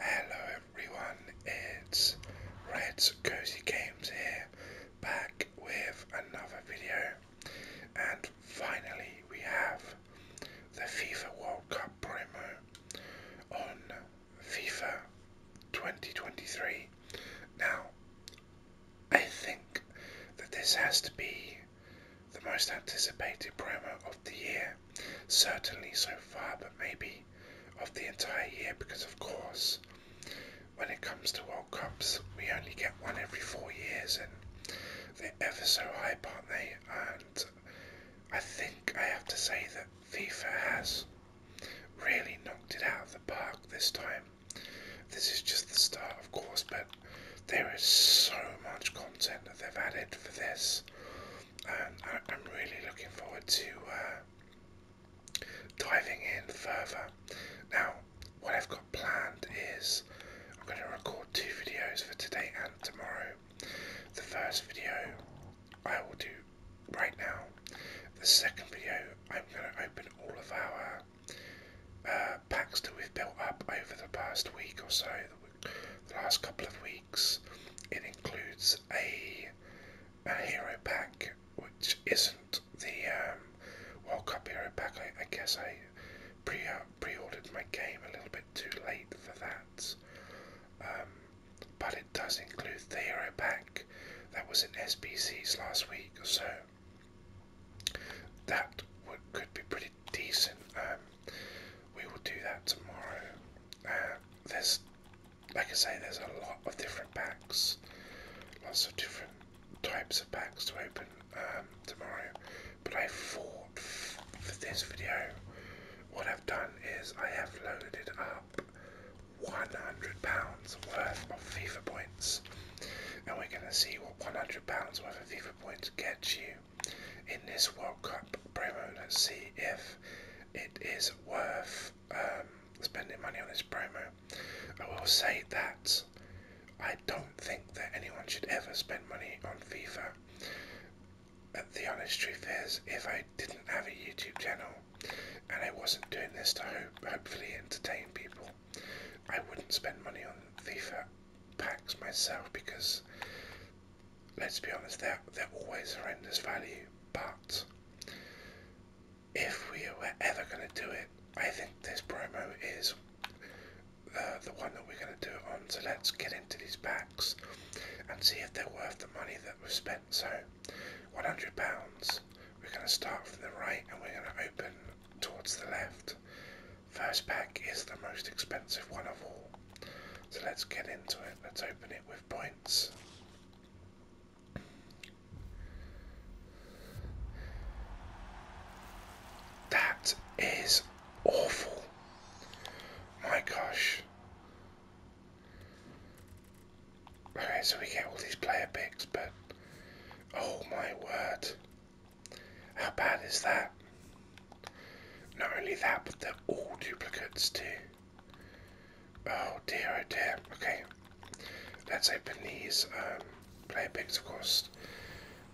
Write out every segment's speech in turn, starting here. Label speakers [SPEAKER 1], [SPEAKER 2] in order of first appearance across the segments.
[SPEAKER 1] Hello everyone, it's Red's Cozy Games here, back with another video. And finally we have the FIFA World Cup promo on FIFA 2023. Now, I think that this has to be the most anticipated promo of the year certainly so far, but maybe of the entire year, because of course, when it comes to World Cups, we only get one every four years, and they're ever so hype, aren't they? And I think I have to say that FIFA has really knocked it out of the park this time. This is just the start, of course, but there is so much content that they've added for this. I, am really looking forward to uh, diving in further. Now, what I've got planned is I'm going to record two videos for today and tomorrow. The first video I will do right now. The second video I'm going to open all of our uh, packs that we've built up over the past week or so, the last couple of weeks. It includes a a hero pack, which isn't the um, World Cup hero pack. I, guess I pre pre ordered my game a little bit too late for that. Um, but it does include the hero pack that was in SPCs last week, or so that would, could be pretty decent. Um, we will do that tomorrow. Uh, there's, like I say, there's a lot of different packs, lots of different types of packs to open um, tomorrow. But I thought for this video, what I've done is I have loaded up 100 pounds worth of FIFA points, and we're going to see what 100 pounds worth of FIFA points gets you in this World Cup promo. Let's see if it is worth um, spending money on this promo. I will say that I don't think that anyone should ever spend money on FIFA. the honest truth is, if I didn't have a YouTube channel and I wasn't doing this to hopefully entertain people, I wouldn't spend money on FIFA packs myself because let's be honest, they're, they're always horrendous value, but if we were ever going to do it, I think this promo is uh, the one that we're going to do it on. So let's get into these packs and see if they're worth the money that we've spent. So £100, we're going to start from the right and we're going to open towards the left. First pack is the most expensive one of all. So let's get into it. Let's open it with points. That is awful. My gosh. Okay, so we get all these player picks, but oh my word. How bad is that? Not only that, but they're all duplicates too. Oh dear, oh dear. Okay, let's open these um, player picks, of course.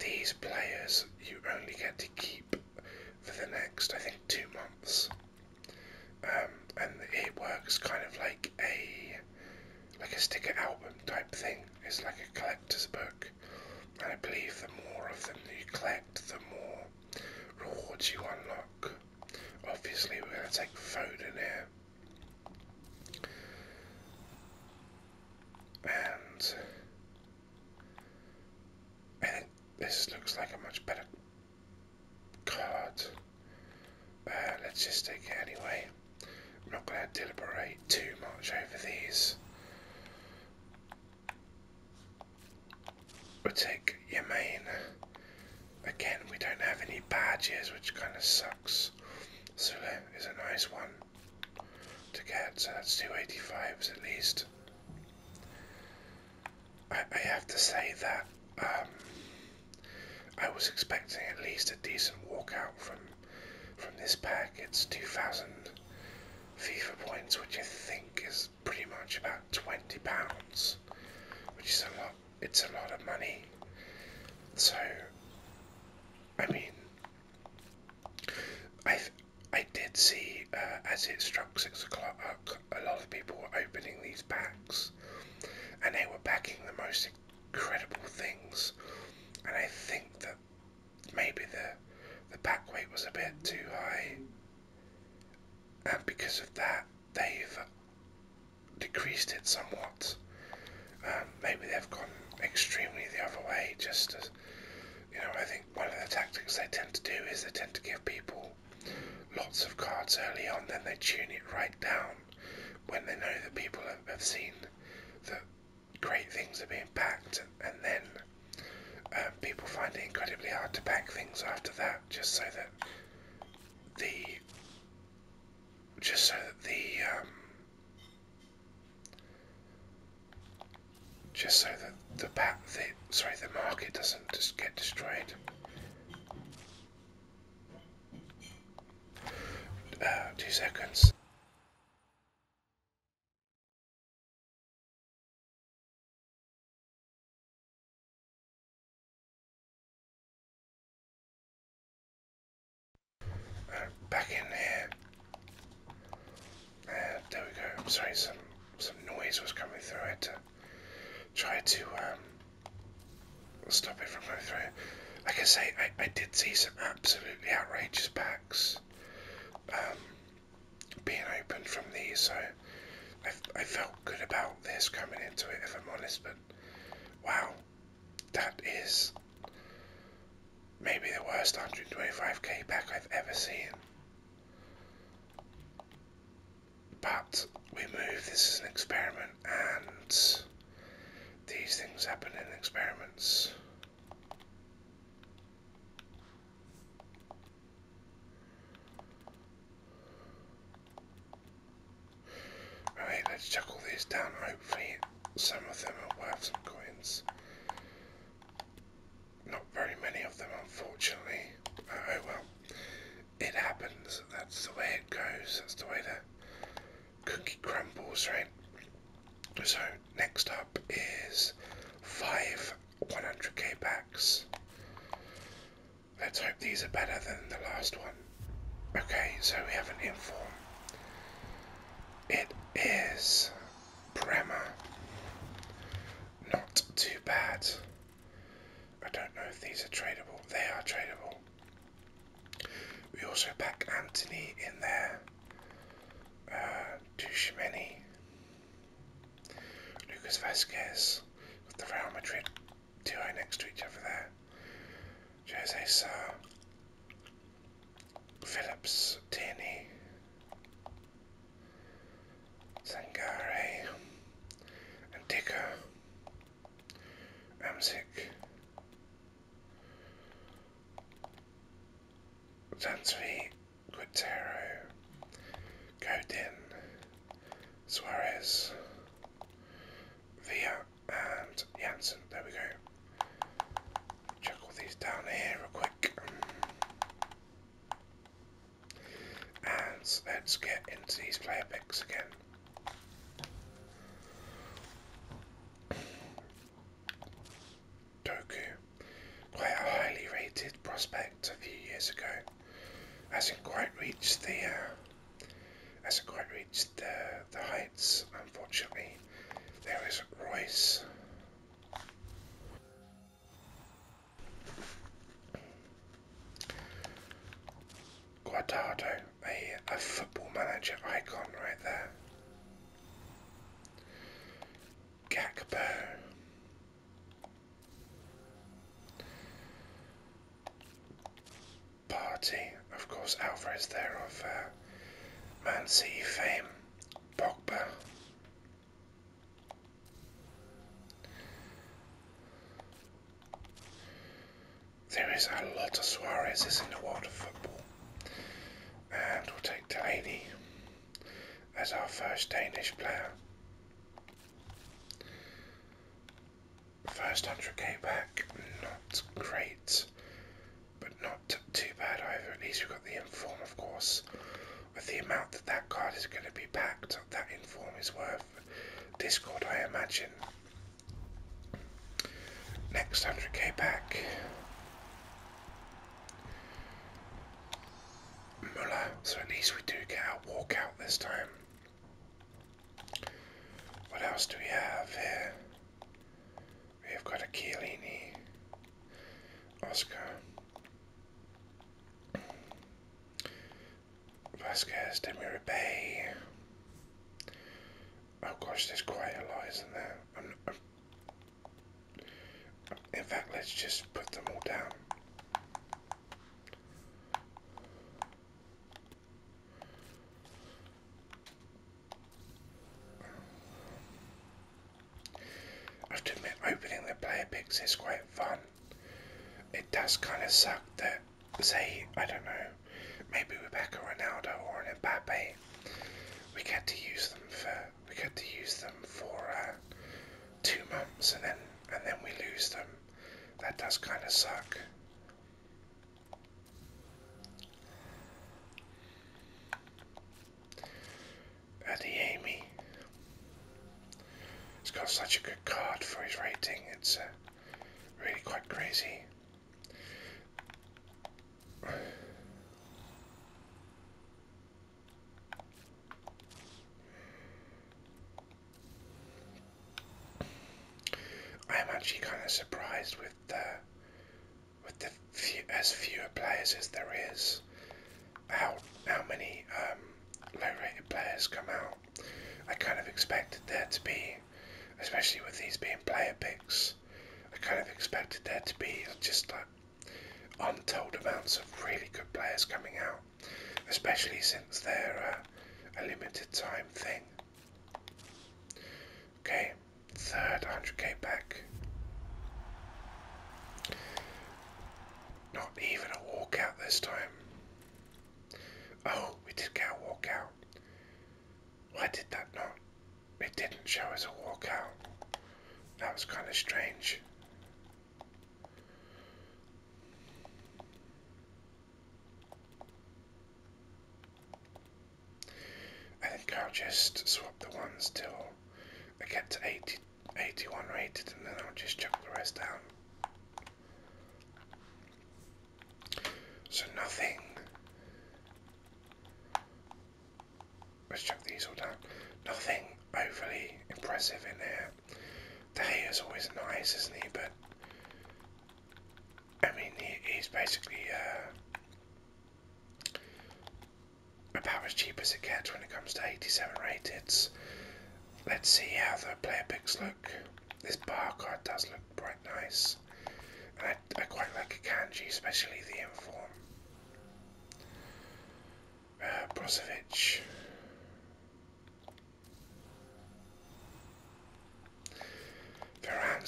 [SPEAKER 1] These players you only get to keep for the next, I think, two months. Um, and it works kind of like a like a sticker album type thing. It's like a collection collector's book. And I believe the more of them you collect, the more rewards you unlock. Obviously, we're going to take food in here. And I think this looks like a much better card. Uh, let's just take it anyway. I'm not going to deliberate too much over these. We'll take Yemain. Again, we don't have any badges, which kind of sucks. Sule is a nice one to get, so that's 285s at least. I, I have to say that um, I was expecting at least a decent walkout from from this pack, it's 2,000 FIFA points, which I think is pretty much about 20 pounds, which is a lot. It's a lot of money. So, I mean, I I did see uh, as it struck six o'clock, a lot of people were opening these packs, and they were packing the most incredible things, and I think that that maybe the the back weight was a bit too high, and because of that, they've decreased it somewhat. Um, maybe they've gone extremely the other way. Just as you know, I think one of the tactics they tend to do is they tend to give people lots of cards early on, then they tune it right down when they know that people have, have seen that great things are being packed, and then um, people find it incredibly hard to pack things after that, just so that the just so that the um, just so that the bat sorry the market doesn't just get destroyed. Uh, two seconds back in there. Uh, there we go. I'm sorry, some some noise was coming through. I try to um, stop it from going through. Like I say, I, I did see some absolutely outrageous packs. Um, being open from these, so I, I felt good about this coming into it, if I'm honest. But wow, that is maybe the worst 125k pack I've ever seen. But we move, this is an experiment, and these things happen in experiments. Alright, let's chuck all these down. Hopefully, some of them are worth some coins. Not very many of them, unfortunately. Uh, oh well, it happens. That's the way it goes. That's the way that cookie crumbles, right? So next up is five 100k packs. Let's hope these are better than the last one. Okay, so we have an inform. It is Bremer. Not too bad. I don't know if these are tradable. They are tradable. We also pack Anthony in there. Uh, Tushimeni. Lucas Vasquez. with the Real Madrid duo next to each other there. Jose Sarr. Phillips, Tierney, Sangare, and Dicker, Amzik, Sansvi, Quintero, Godin, Suarez, Villa, and Yanson. There we go. Chuck all these down here real quick. And let's get into these player picks again. Doku, quite a highly rated prospect a few years ago, hasn't quite reached the uh, hasn't quite reached the the heights. Unfortunately, there is Royce. Guardado a, a football manager icon right there. Gakpo. Party, of course, Alvarez there of uh, Man City fame. Pogba. There is a lot of Suarezes in the world of football. And we'll take Delaney as our first Danish player. First 100k back, not great, but not too bad either. At least we've got the inform, of course. With the amount that that card is going to be packed, that inform is worth Discord, I imagine. Next 100k back. Muller, so at least we do get our walkout this time. What else do we have here? We have got a Chiellini, Oscar, Vasquez, Demirbay, Oh gosh, there's quite a lot, isn't there? I'm not, there in fact, let's just put them all down. I have to admit, opening the player picks is quite fun. It does kind of suck that, say, I don't know, maybe we're back a Ronaldo or an Mbappe. We get to use them for we get to use them for uh, two months and then and then we lose them. That does kind of suck. Adiemi. He's got such a good card for his rating. It's uh, really quite crazy. I'm actually kind of surprised with the with the few, as fewer players as there is. How how many um, low-rated players come out? I kind of expected there to be especially with these being player picks. I kind of expected there to be just like untold amounts of really good players coming out, especially since they're uh, a limited time thing. Okay, third 100k back. Not even a walkout this time. Oh, we did get a walkout. Why did that not? It didn't show as a walkout. That was kind of strange. I think I'll just swap the ones till I get to 80, 81 rated and then I'll just chuck the rest down. So nothing. Let's check these all down. Nothing overly impressive in here. The hair is always nice, isn't he? But I mean, he's basically uh, about as cheap as it gets when it comes to 87 rateds. Let's see how the player picks look. This bar card does look quite nice. I, quite like a kanji, especially the inform. Uh, Brozovic.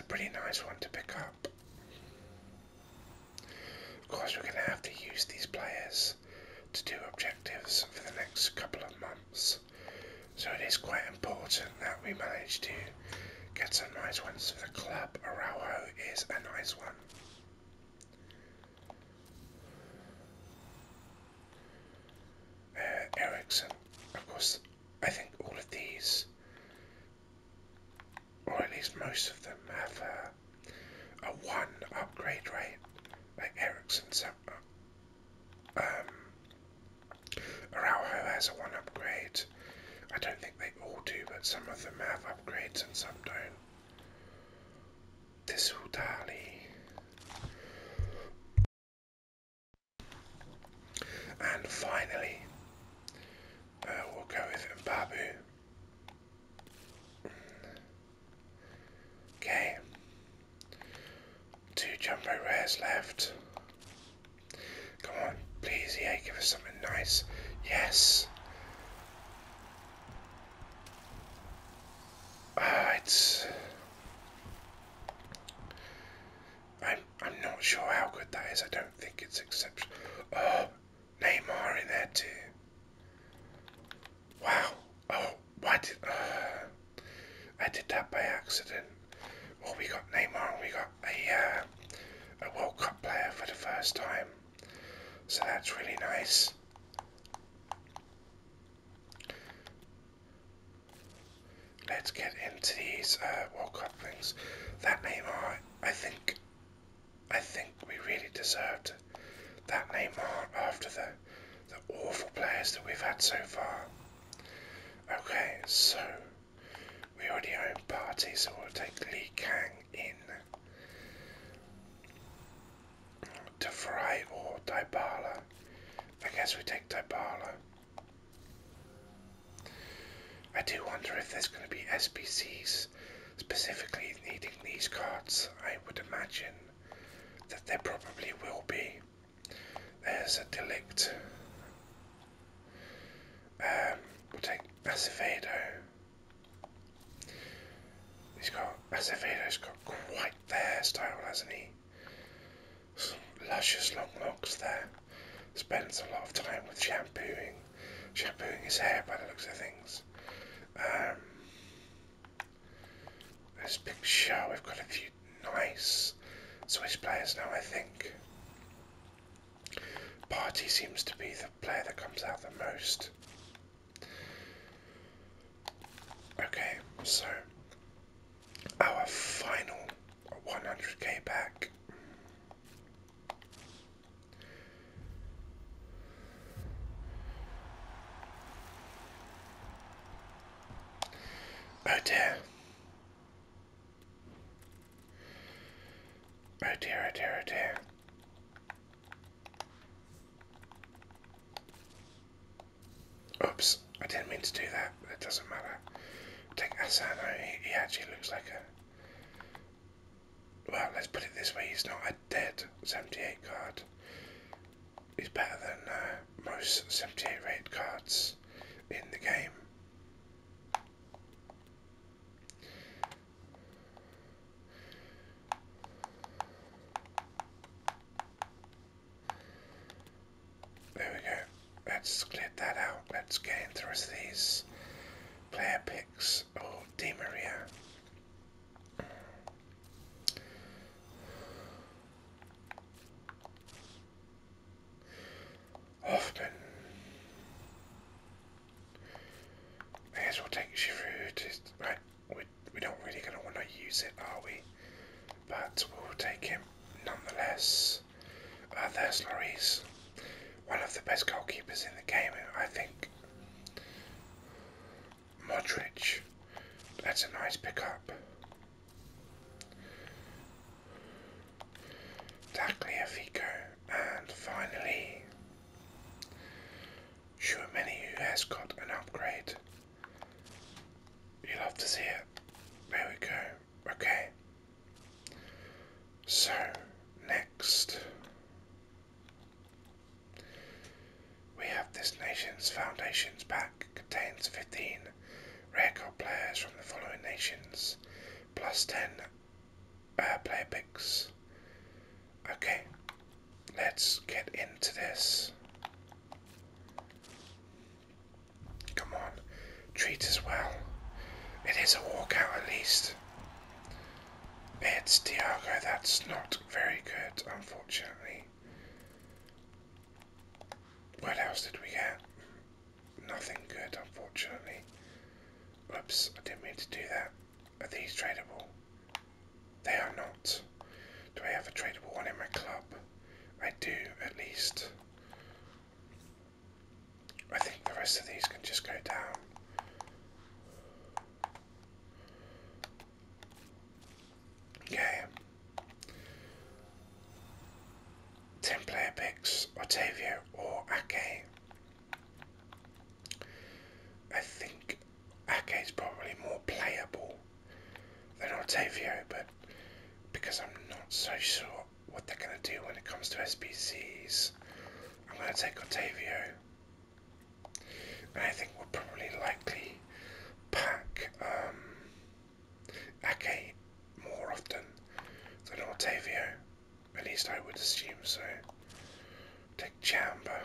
[SPEAKER 1] a pretty nice one to pick up. Of course, we're going to have to use these players to do objectives for the next couple of months. So it is quite important that we manage to get some nice ones. for the club Araujo is a nice one. Uh, Ericsson, of course, I think all of these, or at least most of them, have uh, a, one upgrade rate. Like Ericsson's um, has a one upgrade. I don't think they all do, but some of them have upgrades and some don't. This will Dali. And finally, uh, we'll go with Mbabu. Okay, Two jumbo rares left. Come on, please, yeah, give us something nice. Yes. Uh, I'm, I'm not sure how good that is. I don't think it's exceptional. Oh, Neymar in there too. Wow. Oh, why uh, I did that by accident. Well, we got Neymar and we got a, uh, a World Cup player for the first time. So that's really nice. Let's get into these uh, World Cup things. That Neymar, I think, I think we really deserved that Neymar after the the awful players that we've had so far. Okay, so we already own party, so we'll take Li Kang in. Defray or Dybala. I guess we take Dybala. I do wonder if there's going to be SPCs specifically needing these cards. I would imagine that there probably will be. There's a Delict. Um, we'll take Acevedo. He's got Acevedo's got quite there style, hasn't he? Some luscious long locks there. Spends a lot of time with shampooing, shampooing his hair by the looks of things. Um, this picture, we've got a few nice Swiss players now, I think. Party seems to be the player that comes out the most. Okay, so our final 100k back. Oh dear. Oh dear, oh dear, oh dear. Oops, I didn't mean to do that, it doesn't matter. Take that, oh, he, he actually looks like a... Well, let's put it this way, he's not a dead 78 card is better than uh, most 78 rate cards in the game. There we go. Let's clear that out. Let's get into these player picks. Oh, Di Maria. Hoffman. May as well take Giroud. Just, we're, we're not really going to want to use it, are we? But we'll take him nonetheless. Uh, there's Lloris, one of the best goalkeepers in the game, I think. Modric. That's a nice pickup. Tagliafico. And finally, Schumanni who has got an upgrade. You'll have to see it. There we go. Okay. So, next. We have this nation's foundations pack contains 15 rare card players from the following nations, plus 10 uh, player picks. Okay, let's get into this. Come on, treat as well. It is a walkout at least. It's Diago, that's not very good, unfortunately. What else did we get? Nothing good, unfortunately. Oops, I didn't mean to do that. Are these tradable? They are not. Do I have a tradable one in my club? I do, at least. I think the rest of these can just go down. Okay. Ten player picks, Octavio or Ake. I think Ake is probably more playable than Octavio, but because I'm not so sure what they're going to do when it comes to SPCs, I'm going to take Octavio. I think we'll probably likely pack um, Ake more often than Octavio. At least I would assume so. Take Chamber.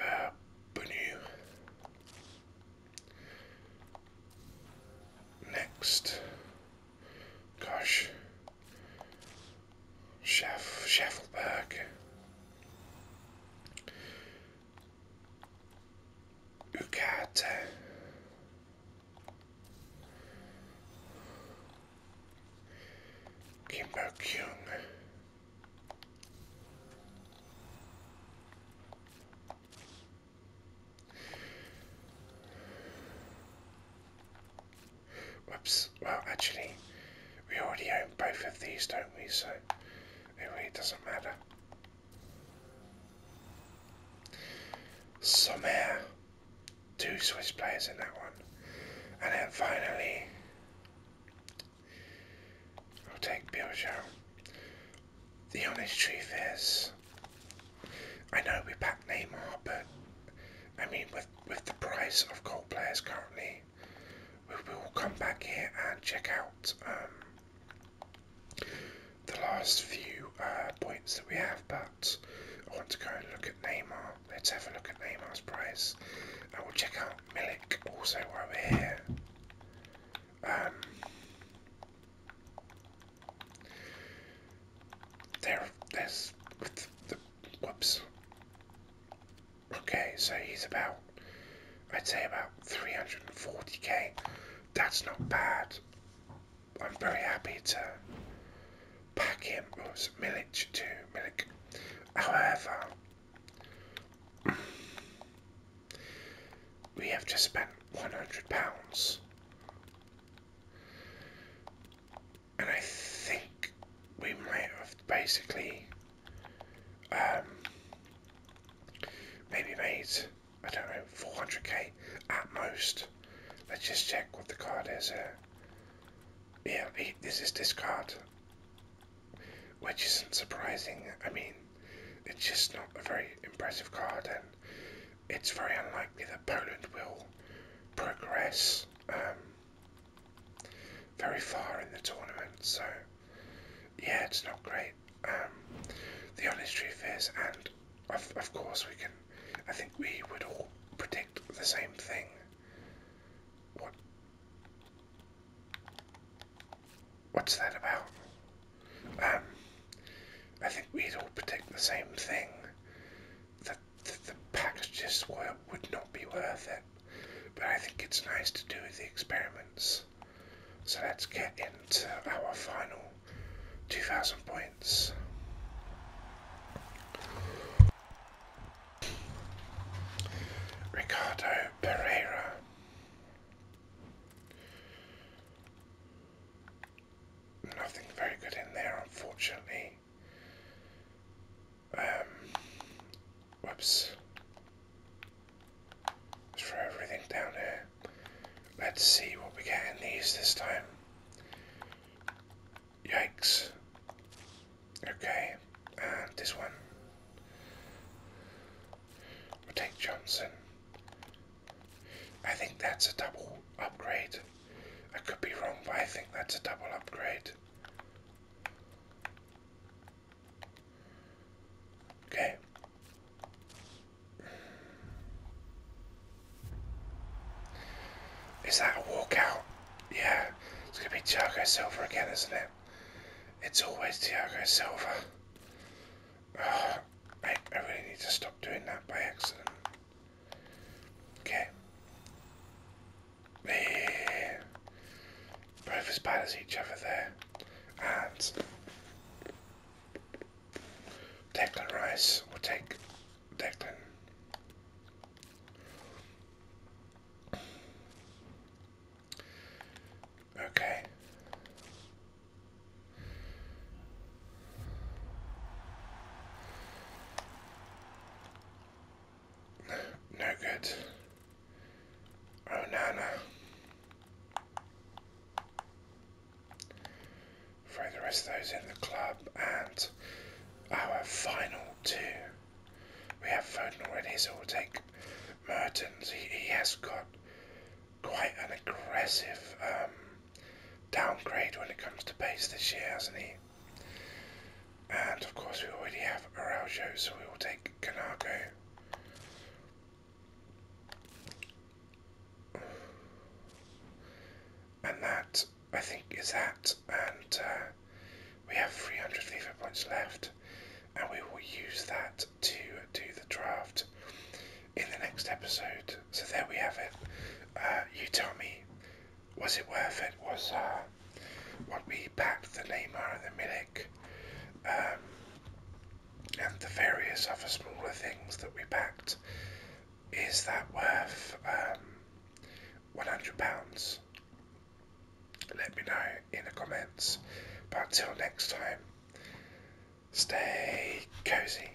[SPEAKER 1] Uh, Next. Gosh. Schaff, Schaffelberg. Ucat. Whoops. Well, actually, we already own both of these, don't we? So it really doesn't matter. Sommer. Two Swiss players in that one. And then finally, I'll take Biljo. The honest truth is, I know we have packed Neymar, but I mean, with, with the price of gold players currently, we will come back here and check out um, the last few uh, points that we have. But I want to go and look at Neymar. Let's have a look at Neymar's price. we will check out Milik also while we're here. Um, there, there's with the Whoops. Okay, so he's about, I'd say about 340k. That's not bad. I'm very happy to pack him, oops, oh, Milic to Milic. However, we have just spent £100 and I think we might have basically um, maybe made I don't know 400k at most. Let's just check what the card is uh, Yeah, this is this card, which isn't surprising. I mean, it's just not a very impressive card, and it's very unlikely that Poland will progress. Um, very far in the tournament, so yeah, it's not great. Um, the honest truth is, and of, of course, we can, I think we would all predict the same thing. What? What's that about? Um, I think we'd all predict the same thing. The the, the, just would not be worth it. But I think it's nice to do the experiments. So let's get into our final 2000 points. Ricardo Pereira. Nothing very good in there, unfortunately. Um, whoops. Throw everything down here. Let's see what we get in these this time. Yikes. Okay, and this one. we Johnson. I think that's a double upgrade. I could be wrong, but I think that's a double upgrade. Okay. Is that a walkout? Yeah, it's going to be Thiago Silva again, isn't it? It's always Thiago Silva. I really need to stop doing that by accident. Okay. They both as bad as each other there. And Declan Rice will take Declan. Okay. No good. Oh, Nana. Throw the rest of those in the club and our final two. We have Foden already, so we'll take Mertens. He, has got quite an aggressive um, downgrade when it comes to pace this year, hasn't he? And of course, we already have Araujo, so we will take Kanago. And that, I think, is that. And uh, we have 300 FIFA points left, and we will use that to do the draft in the next episode. So there we have it. Uh, you tell me was it worth it? Was uh, what we packed the Lima and the Milik um, and the various other smaller things that we packed, is that worth £100? Um, Let me know in the comments. But until next time, stay cozy.